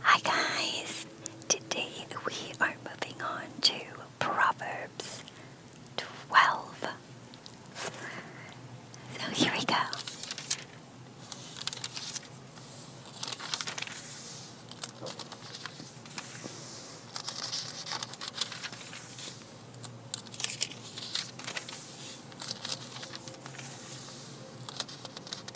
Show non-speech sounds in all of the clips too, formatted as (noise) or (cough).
Hi guys! Today we are moving on to Proverbs 12. So here we go.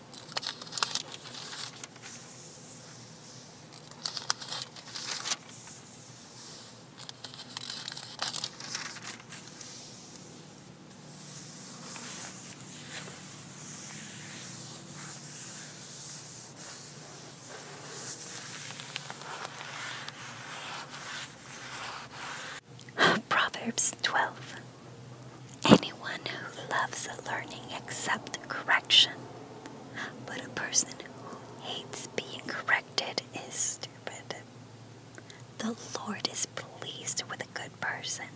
(sighs) Proverbs 12 Anyone who loves learning accepts correction but a person who hates being corrected is stupid. The Lord is pleased with a good person,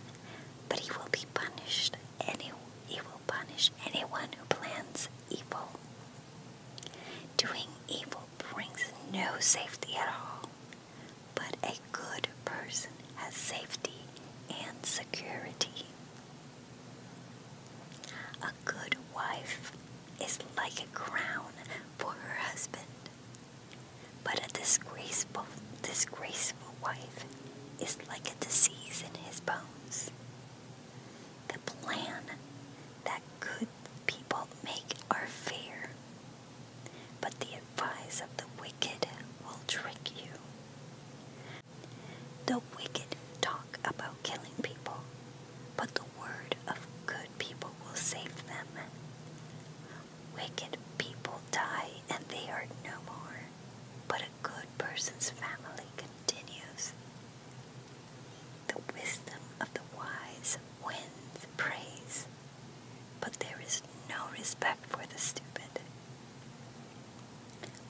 but he will be punished. Any, he will punish anyone who plans evil. Doing evil brings no safety at all, but a good person has safety and security. A good wife is like a crown for her husband, but a disgraceful, disgraceful wife is like a disease in his bones. The plan that good people make are fair, but the advice of the wicked will trick you. The wicked talk about killing people, but the word of good people will save them. Wicked people die and they are no more, but a good person's family continues. The wisdom of the wise wins praise, but there is no respect for the stupid.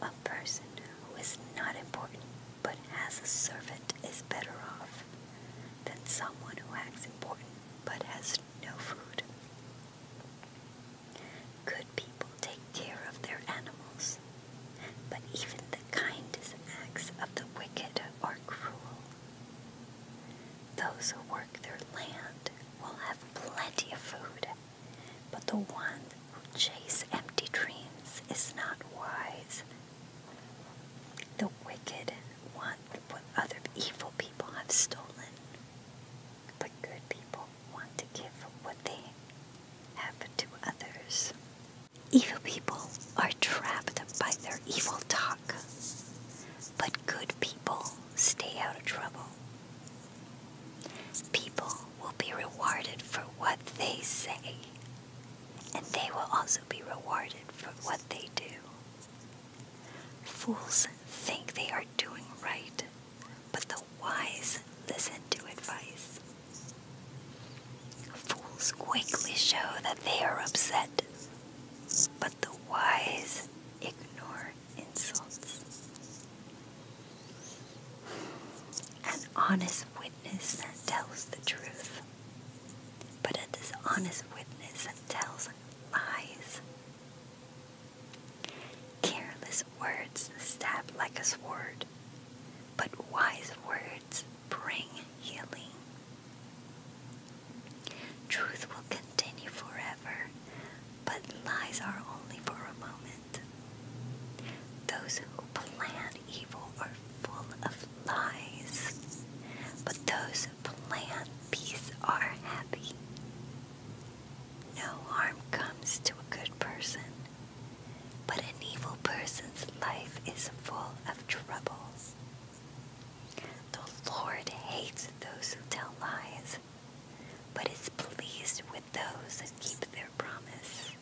A person who is not important but has a servant is better off than someone who acts important but has no food. Good people take care of their animals, but even the kindest acts of the wicked are cruel. Those who work their land will have plenty of food, but the one who chases empty dreams is not wise. The wicked want what other evil people have stolen, but good people want to give what they have to others. Evil people are trapped by their evil talk, but good people stay out of trouble. People will be rewarded for what they say, and they will also be rewarded for what they do. Fools think they are doing right, but the wise listen to advice. Fools quickly show that they are upset, but the wise ignore insults. An honest witness that tells the truth, but a dishonest witness that tells lies. Careless words stab like a sword, but wise words bring healing. Truth will continue forever, but lies are only for a moment. Those who plan evil are full of lies, but those who plan peace are happy. No harm comes to a good person, but an evil person's life is full of troubles. The Lord hates those who tell lies but is pleased with those that keep their promise.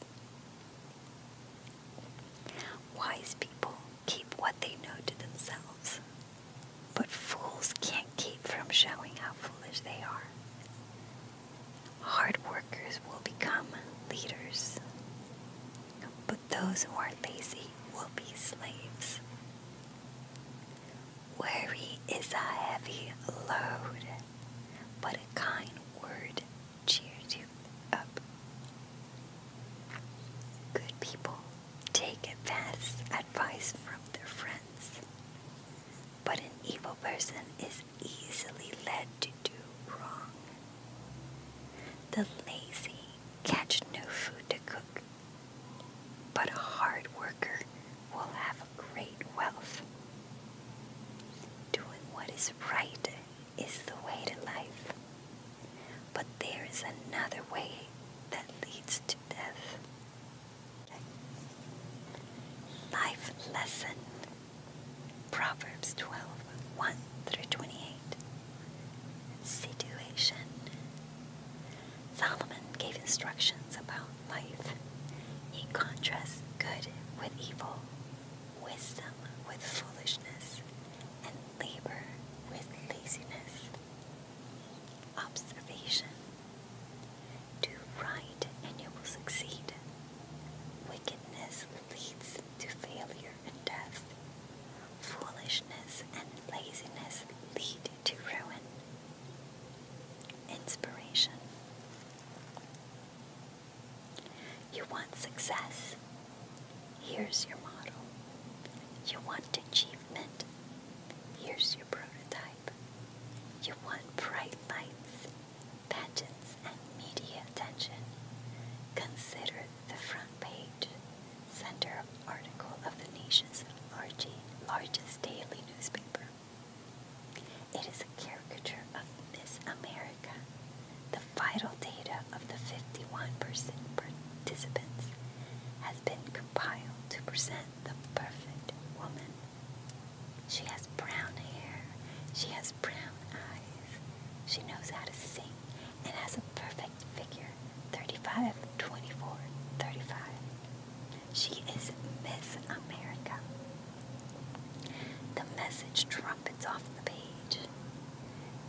Wise people keep what they know to themselves, but fools can't keep from showing how foolish they are. Hard workers will become leaders, but those who are lazy will be slaves. Worry is a heavy load, but a kind word cheers you up. Good people take advice from their friends, but an evil person is easily led to do wrong. The lazy catch no food to cook, but hard work worker will have great wealth. Doing what is right is the way to life, but there is another way that leads to death. Life lesson Proverbs 12 1 through 28. Situation Solomon gave instructions about life. He contrasts good with evil, wisdom with foolishness, and labor with laziness. Observation Do right and you will succeed. Wickedness leads to failure and death. Foolishness and laziness lead to ruin. Inspiration you want success? Here's your model. You want achievement? Here's your prototype. You want bright lights, pageants, and media attention? Consider the front page, center article of the nation's largest daily newspaper. It is a caricature of Miss America. The vital data of the 51 percent participants has been compiled to present the perfect woman. She has brown hair, she has brown eyes, she knows how to sing, and has a perfect figure 35, 24, 35. She is Miss America. The message trumpets off the page.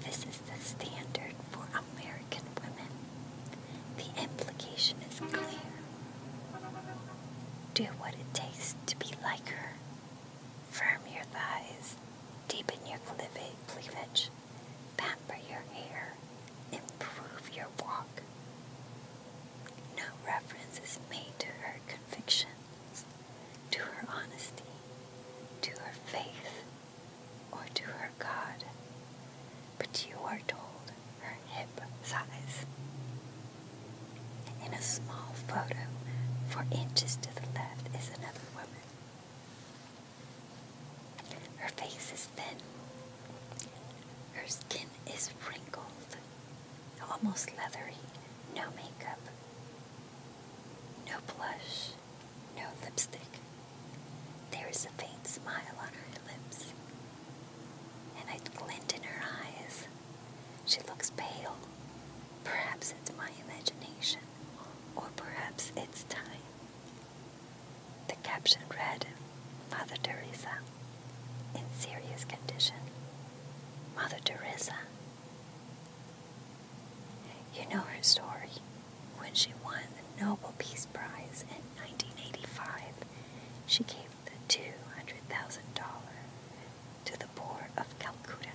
This is the standard for American women. The implication is clear. Do what it takes to be like her. Firm your thighs, deepen your cleavage, pamper your hair, improve your walk. No reference is made to her convictions, to her honesty, to her faith, or to her God, but you are told her hip size. In a small photo, four inches to the left is another woman. Her face is thin. Her skin is wrinkled almost leathery, no makeup, no blush, no lipstick. There is a faint smile on her lips, and a glint in her eyes. She looks pale. Perhaps it's my imagination, or perhaps it's time. The caption read Mother Teresa in serious condition. Mother Teresa. You know her story. When she won the Nobel Peace Prize in 1985, she gave the $200,000 to the poor of Calcutta.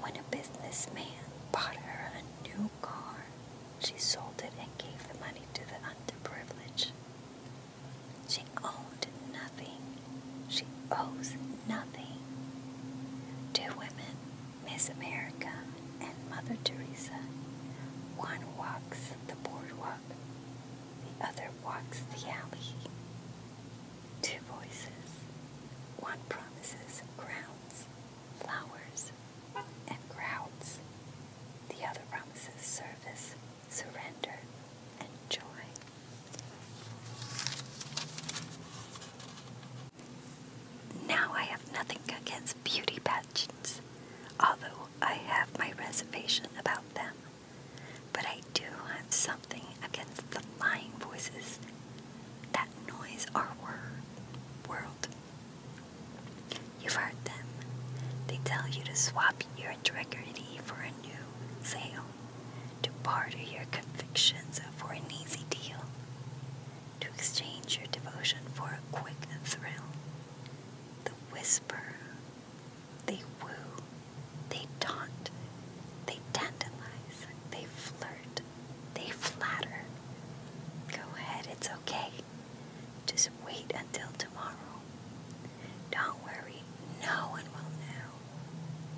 When a businessman bought her a new car, she sold it and gave the money to the underprivileged. She owns nothing. She owes nothing. Two women, Miss America and Mother Teresa. One walks the boardwalk, the other walks the alley. Two voices. One promises grounds, flowers, and crowds. The other promises service, surrender, and joy. Now I have nothing against beauty pageants, although I have my reservation about them. But I do have something against the lying voices that noise our world. You've heard them. They tell you to swap your integrity for a new sale, to barter your convictions for an easy deal, to exchange your devotion for a quick thrill. The whisper, they woo, they taunt, they tantalize, they flirt, they flatter. Go ahead, it's okay. Just wait until tomorrow. Don't worry, no one will know.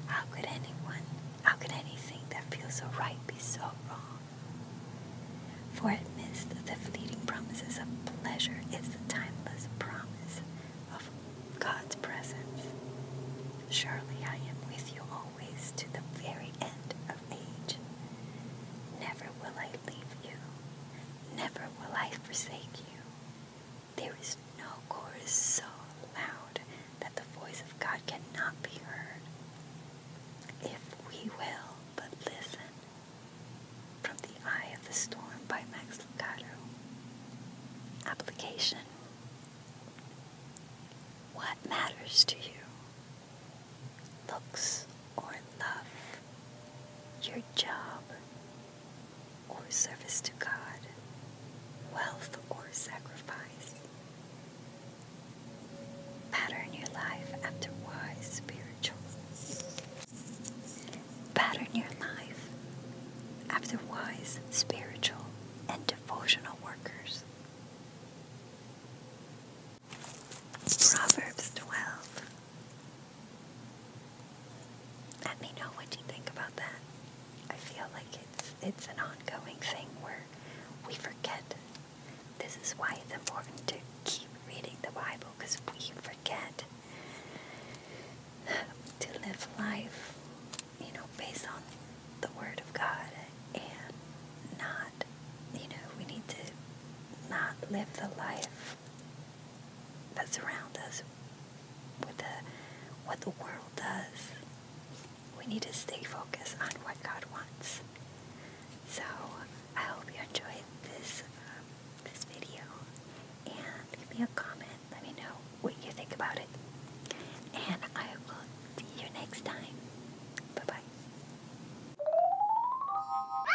How could anyone, how could anything that feels so right be so wrong? For amidst the fleeting promises of pleasure is the timeless promise of God's presence. Surely I am with you always to the very end of age. Never will I leave you, Never will I forsake you. There is no chorus so loud that the voice of God cannot be heard. If we will but listen. From the Eye of the Storm by Max Lucado. Application What matters to you? Looks or love, your job or service to God, wealth or sacrifice. Pattern your life after wise spirituals. Pattern your life after wise spiritual and devotional workers. Proverbs 12 let me know what you think about that. I feel like it's it's an ongoing thing where we forget. This is why it's important to keep reading the Bible because we forget to live life, you know, based on the Word of God and not, you know, we need to not live the life that's around us with the, what the world does. We need to stay focused on what God wants. So I hope you enjoyed this um, this video, and leave me a comment. Let me know what you think about it, and I will see you next time. Bye bye.